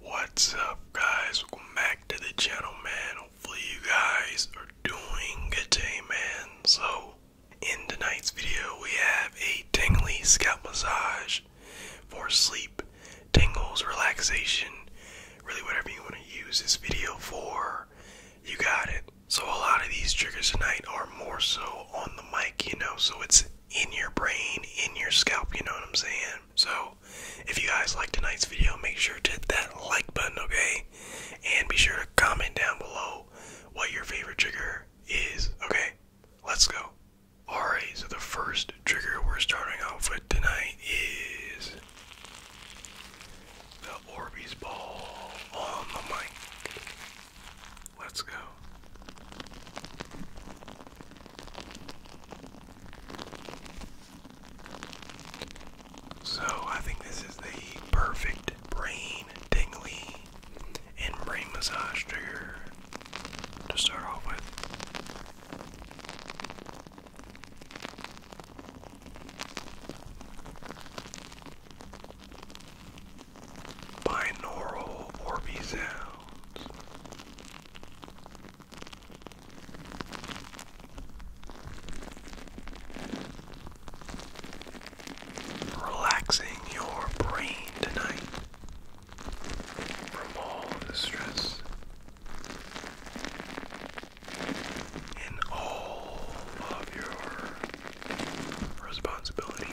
What's up guys? Welcome back to the channel man. Hopefully you guys are doing good day man. So in tonight's video we have a tingly scalp massage for sleep, tingles, relaxation, really whatever you want to use this video for, you got it. So a lot of these triggers tonight are more so on the mic, you know, so it's in your brain, in your scalp, you know what I'm saying? So, if you guys liked tonight's video, make sure to hit that like button, okay? And be sure to comment down below what your favorite trigger is, okay? Let's go. Alright, so the first trigger we're starting out with tonight is the Orbeez ball on the mic. Let's go. So I think this is the perfect brain tingly and brain massage trigger to start off with. Binaural Orby sounds. Relaxing your brain tonight from all the stress and all of your responsibilities.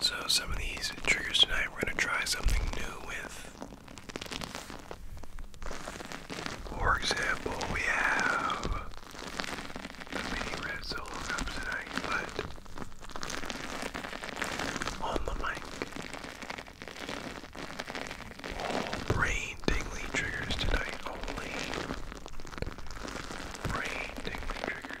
So, some of these triggers tonight, we're going to try something new with. For example, we have many red solo cups tonight, but on the mic, all brain tingly triggers tonight. Only brain tingly triggers.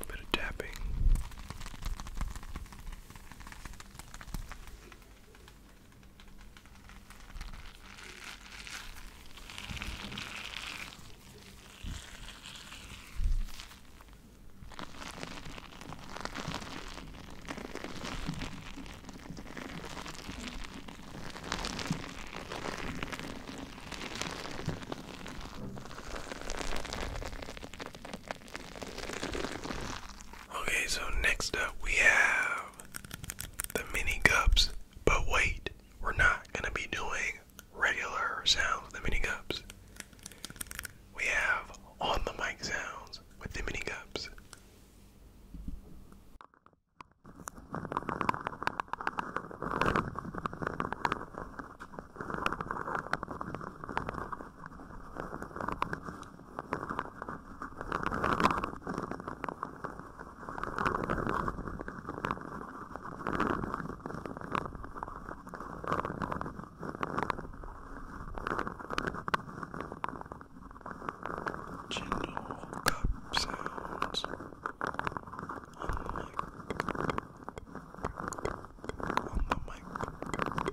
A bit of tapping. Okay, so next up we have the mini cups, but wait, we're not going to be doing regular sounds with the mini cups. We have on the mic sounds with the mini cups. Gentle cup sounds on the mic. On the mic.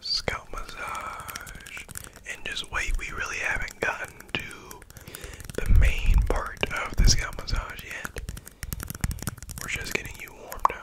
scalp massage. And just wait, we really haven't gotten to the main part of the scalp massage yet. We're just getting you warmed up.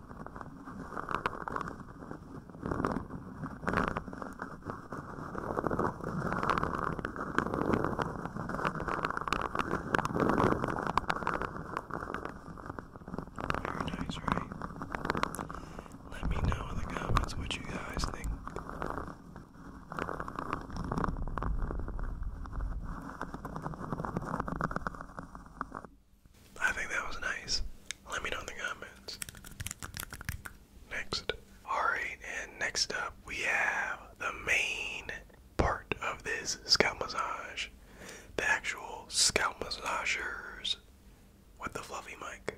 Very nice, right? Let me know in the comments what you guys think. I think that was nice. Let me know in the comments. Next. Alright, and next up we have the main part of this scalp massage. The actual scalp massagers with the fluffy mic.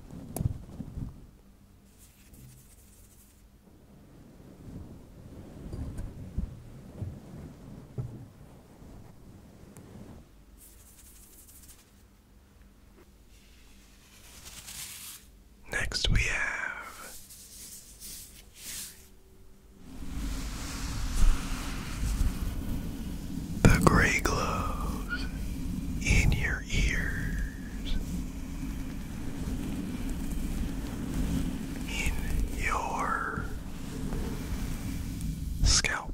Next, we have the gray glows in your ears, in your scalp.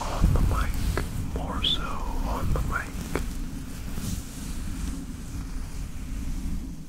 On the mic, more so on the mic.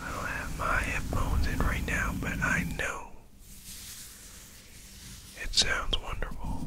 I don't have my headphones in right now, but I know it sounds wonderful.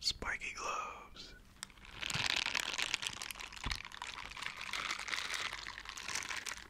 Spiky gloves.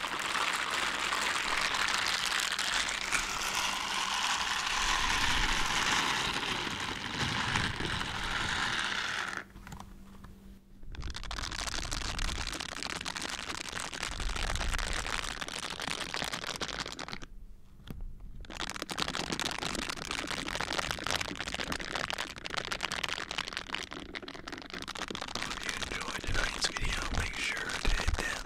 If you enjoyed tonight's video, make sure to hit that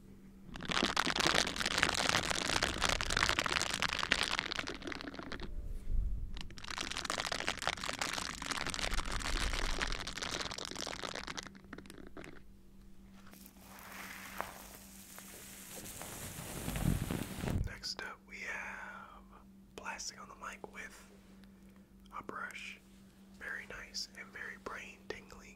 Next up, we have blasting on the mic with a brush. Very nice and very brain tingly.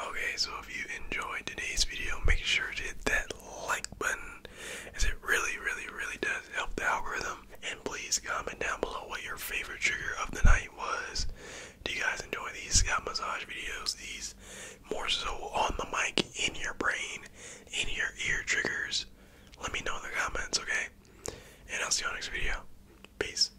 Okay, so if you enjoyed today's video, make sure to hit that like button as it really, really, really does help the algorithm. And please comment down below what your favorite trigger of the night was. Do you guys enjoy these scalp massage videos? These more so on the mic, in your brain, in your ear triggers? Let me know in the comments, okay? And I'll see you on next video. Peace.